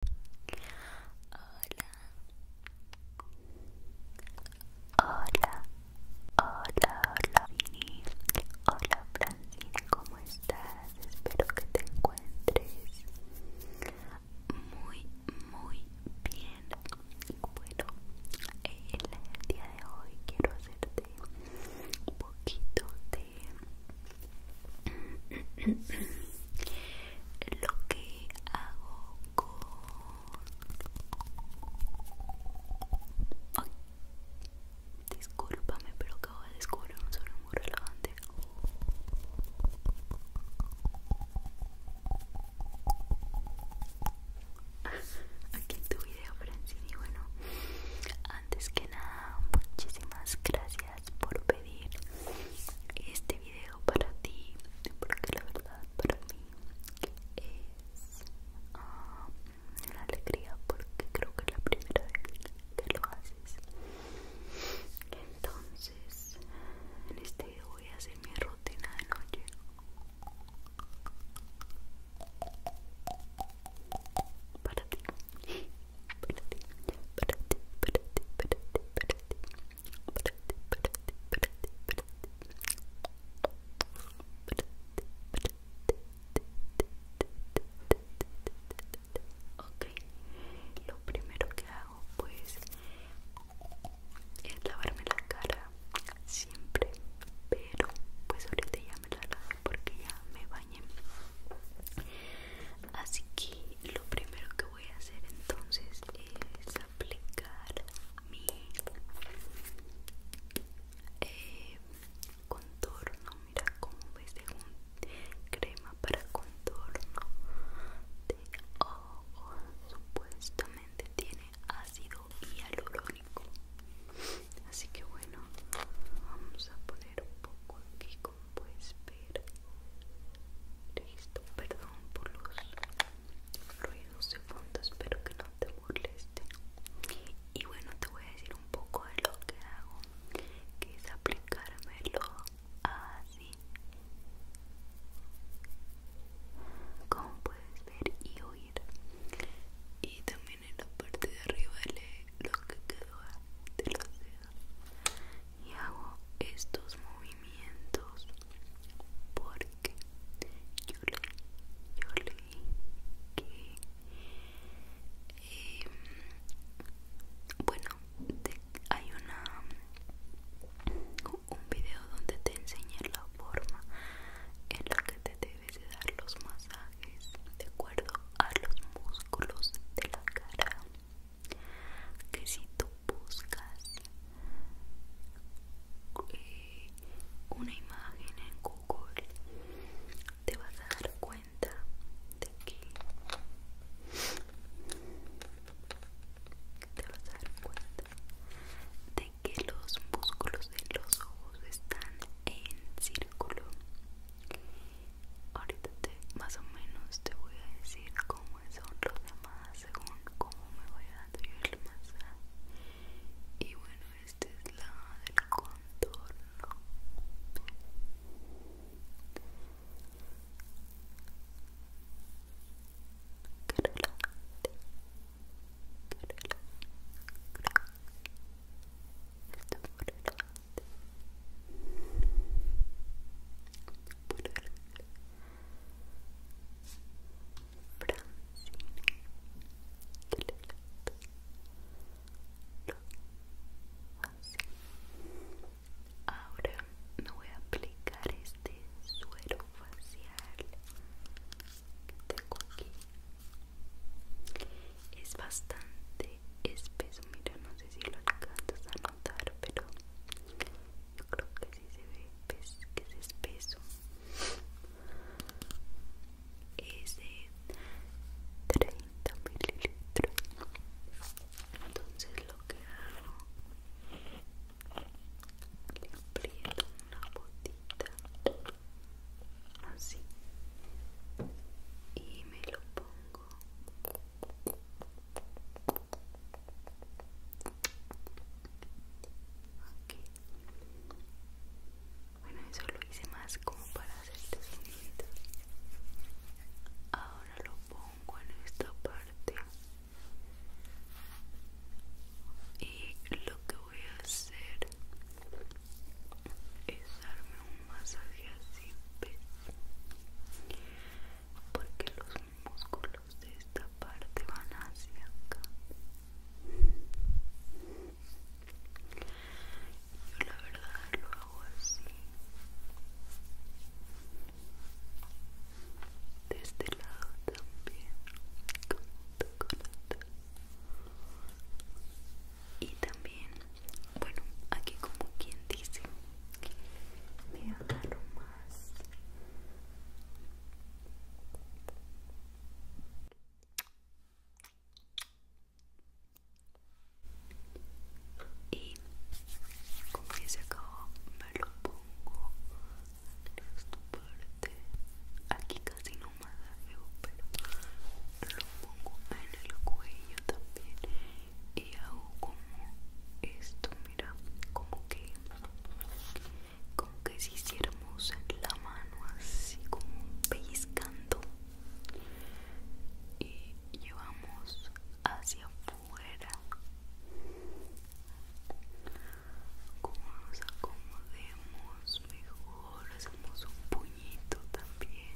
Hola, hola, hola, Vini. Hola, Francine, ¿cómo estás? Espero que te encuentres muy, muy bien. Bueno, el día de hoy quiero hacerte un poquito de lo que hago con Disculpame discúlpame pero acabo de descubrir un sonido muy relevante aquí en tu video Y bueno antes que nada muchísimas gracias por pedir este video para ti porque la verdad para mí es ah, una alegría porque creo que es la primera vez que lo haces entonces en este video voy a hacer mi rutina de noche para ti para lo primero que hago pues es lavarme la cara siempre, pero pues ahorita ya me la hago porque ya me bañé. Así que lo primero que voy a hacer entonces es aplicar mi eh, contorno. Mira como ves de un crema para contorno de ojo. Oh, supuestamente tiene ácido hialurónico. Así que bueno, vamos a poner un poco aquí como puedes ver listo perdón por los ruidos de fondo espero que no te moleste y bueno te voy a decir un poco de lo que hago que es aplicármelo así como puedes ver y oír y también en la parte de arriba le lo que quedó de los dedos y hago estos movimientos porque yo leí, yo leí que em, bueno hay una un video donde te enseñé la forma en la que te debes de dar los masajes de acuerdo a los músculos de la cara que si tú buscas eh, una imagen en Google te vas a dar cuenta de que te vas a dar cuenta de que los músculos de los ojos están en círculo ahorita te, más o menos te voy a decir cómo son los demás según cómo me voy dando yo el masaje y bueno esta es la del contorno Ahora me voy a aplicar este suero facial tengo aquí. Es bastante espeso, mira, no sé si lo alcanzas a notar, pero yo creo que sí se ve que es espeso. Es de 30 mililitros. Entonces lo que hago, le aprieto una botita así y me lo pongo bueno, eso lo hice más como para hacerte sonido. Ahora lo pongo en esta parte. Y lo que voy a hacer es darme un masaje así porque los músculos de esta parte van hacia acá yo la verdad lo hago así de este lado también y también bueno aquí como quien dice me agarro más y como ya se acabó me lo pongo en esta parte aquí casi no me más pero lo pongo en el cuello también y hago como esto mira como que como que si hiciéramos la mano así como pellizcando y llevamos hacia afuera como nos acomodemos mejor hacemos un puñito también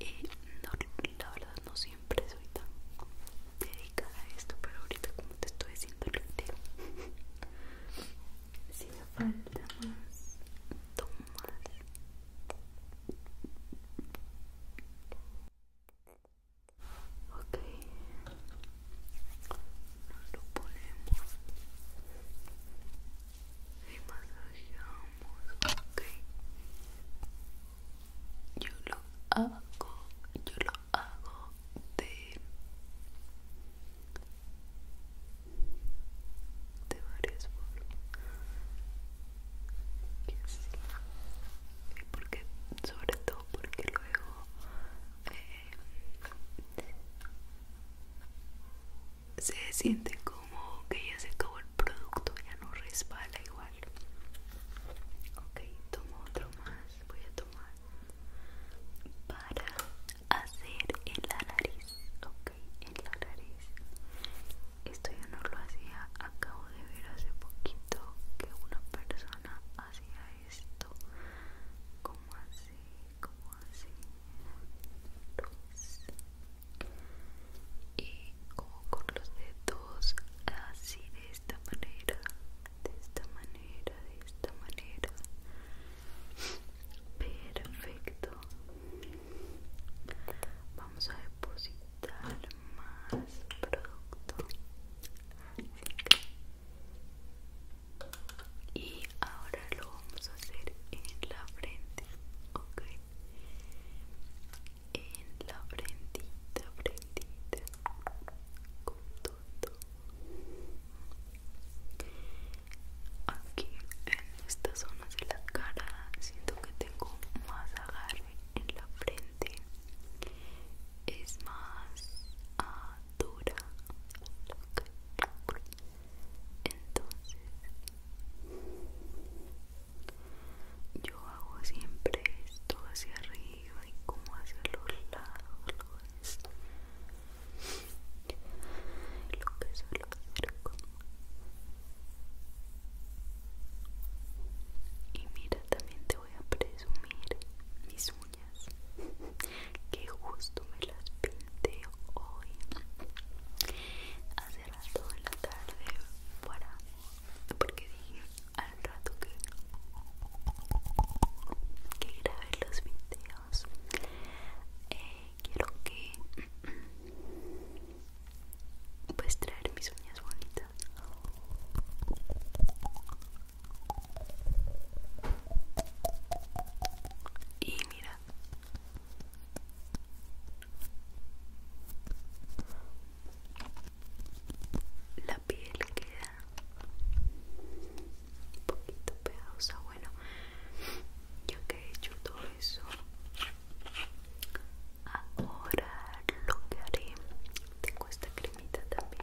y eh, no, la verdad no siempre soy tan dedicada a esto pero ahorita como te estoy diciendo el video si me falta más tomas ok lo ponemos y masajeamos, Yo lo hago, yo lo hago de, de varias formas. Y porque, sobre todo porque luego... Eh, se siente como que ya se acabó el producto, ya no respala igual. Ok, tomo otro más, voy a tomar para hacer en la nariz. Ok, en la nariz. Esto ya no lo hacía, acabo de ver hace poquito que una persona hacía esto. Como así, como así y como con los dedos así de esta manera de esta manera de esta manera perfecto vamos a depositar más producto y ahora lo vamos a hacer en la frente ok en la frente frentita, con todo. Aquí en esta zona de la cara siento que tengo más agarre en la frente. Es más dura entonces yo hago siempre esto hacia arriba y como hacia los lados lo que suelo y mira también te voy a presumir mis uñas que justo me las pinté hoy hacer en la tarde fuera porque dije al rato que que grabé los videos eh, quiero que pues traer mis uñas bonitas y mira la piel queda un poquito pegosa. Bueno, ya que he hecho todo eso, ahora lo que haré, tengo esta cremita también.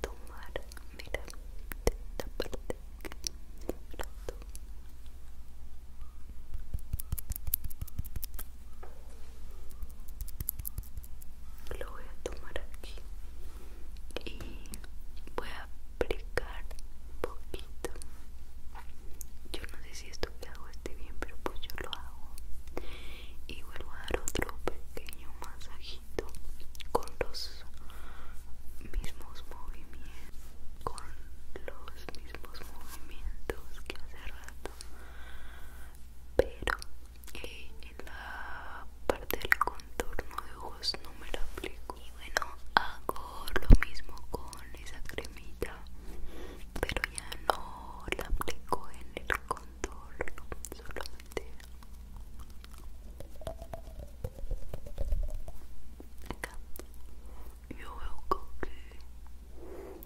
tomar, mira, de esta parte Lo voy a tomar aquí y voy a aplicar un poquito. Yo no sé si esto que hago esté bien, pero pues yo lo hago. Y vuelvo a dar otro pequeño masaje con los mismos movimientos con los mismos movimientos que hace rato pero eh, en la parte del contorno de ojos no me la aplico y bueno hago lo mismo con esa cremita pero ya no la aplico en el contorno solamente acá yo que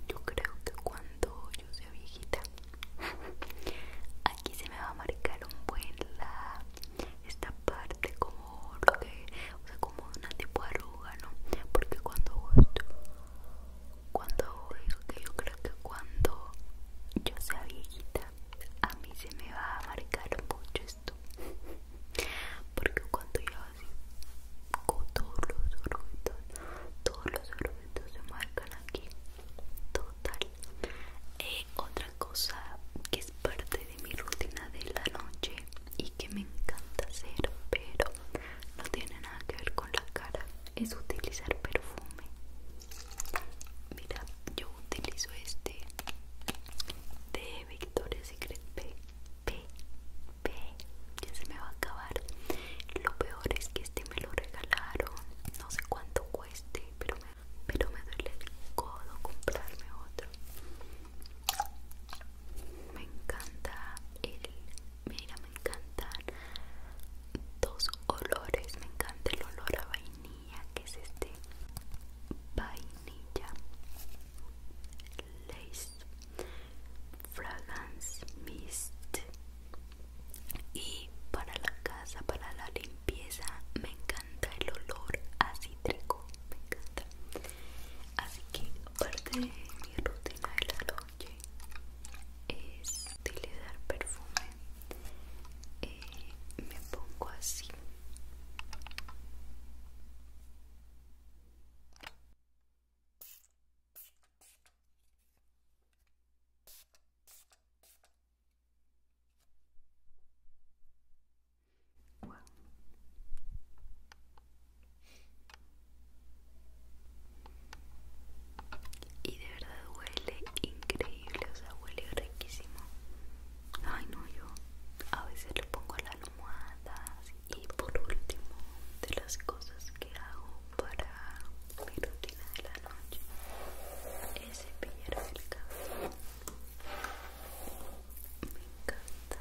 yo creo que cuando yo sea viejita aquí se me va a marcar un buen la esta parte como que o sea como una tipo arruga no porque cuando cuando yo creo que cuando yo sea viejita a mí se me va a marcar mucho esto porque cuando yo así con todos los orugitos, todos los orugitos se marcan aquí total y eh, otra cosa que es parte de mi rutina de la noche y que me encanta hacer pero no tiene nada que ver con la cara es utilizar perfume mira yo utilizo este de Victoria's Secret P, P, ya se me va a acabar. Lo peor es que este me lo regalaron, no sé cuánto cueste, pero me, pero me duele el codo comprarme otro. Me encanta el, mira, me encantan dos olores, me encanta el olor a vainilla que es este vainilla lace fragrance mist y para la casa para la limpieza me encanta el olor a cítrico me encanta así que parte de mi rutina de la noche es utilizar perfume eh, me pongo así y de verdad huele increíble, o sea, huele riquísimo. Ay no, yo a veces le pongo las almohadas y por último de las cosas que hago para mi rutina de la noche es cepillarme el cabello. Me encanta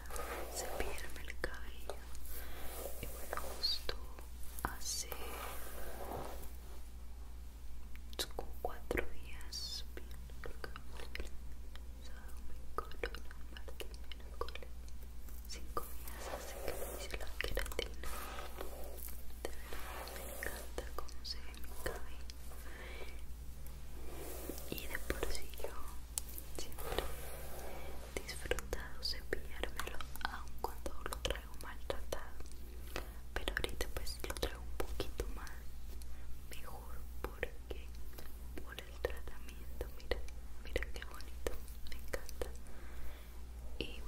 cepillarme el cabello y bueno, justo así es como cuatro días bien porque sábado miércoles martes cinco días hace que me hice la queratina de verdad me encanta cómo se ve mi cabello y de por sí yo siempre he disfrutado cepillármelo aun cuando lo traigo maltratado pero ahorita pues lo traigo un poquito más mejor por porque por el tratamiento mira mira qué bonito me encanta y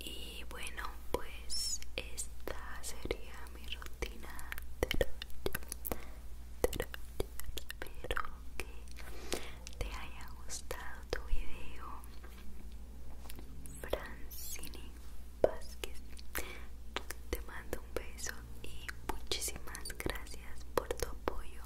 y bueno, pues esta sería mi rutina de Espero que te haya gustado tu video. Francini Vázquez, te mando un beso y muchísimas gracias por tu apoyo.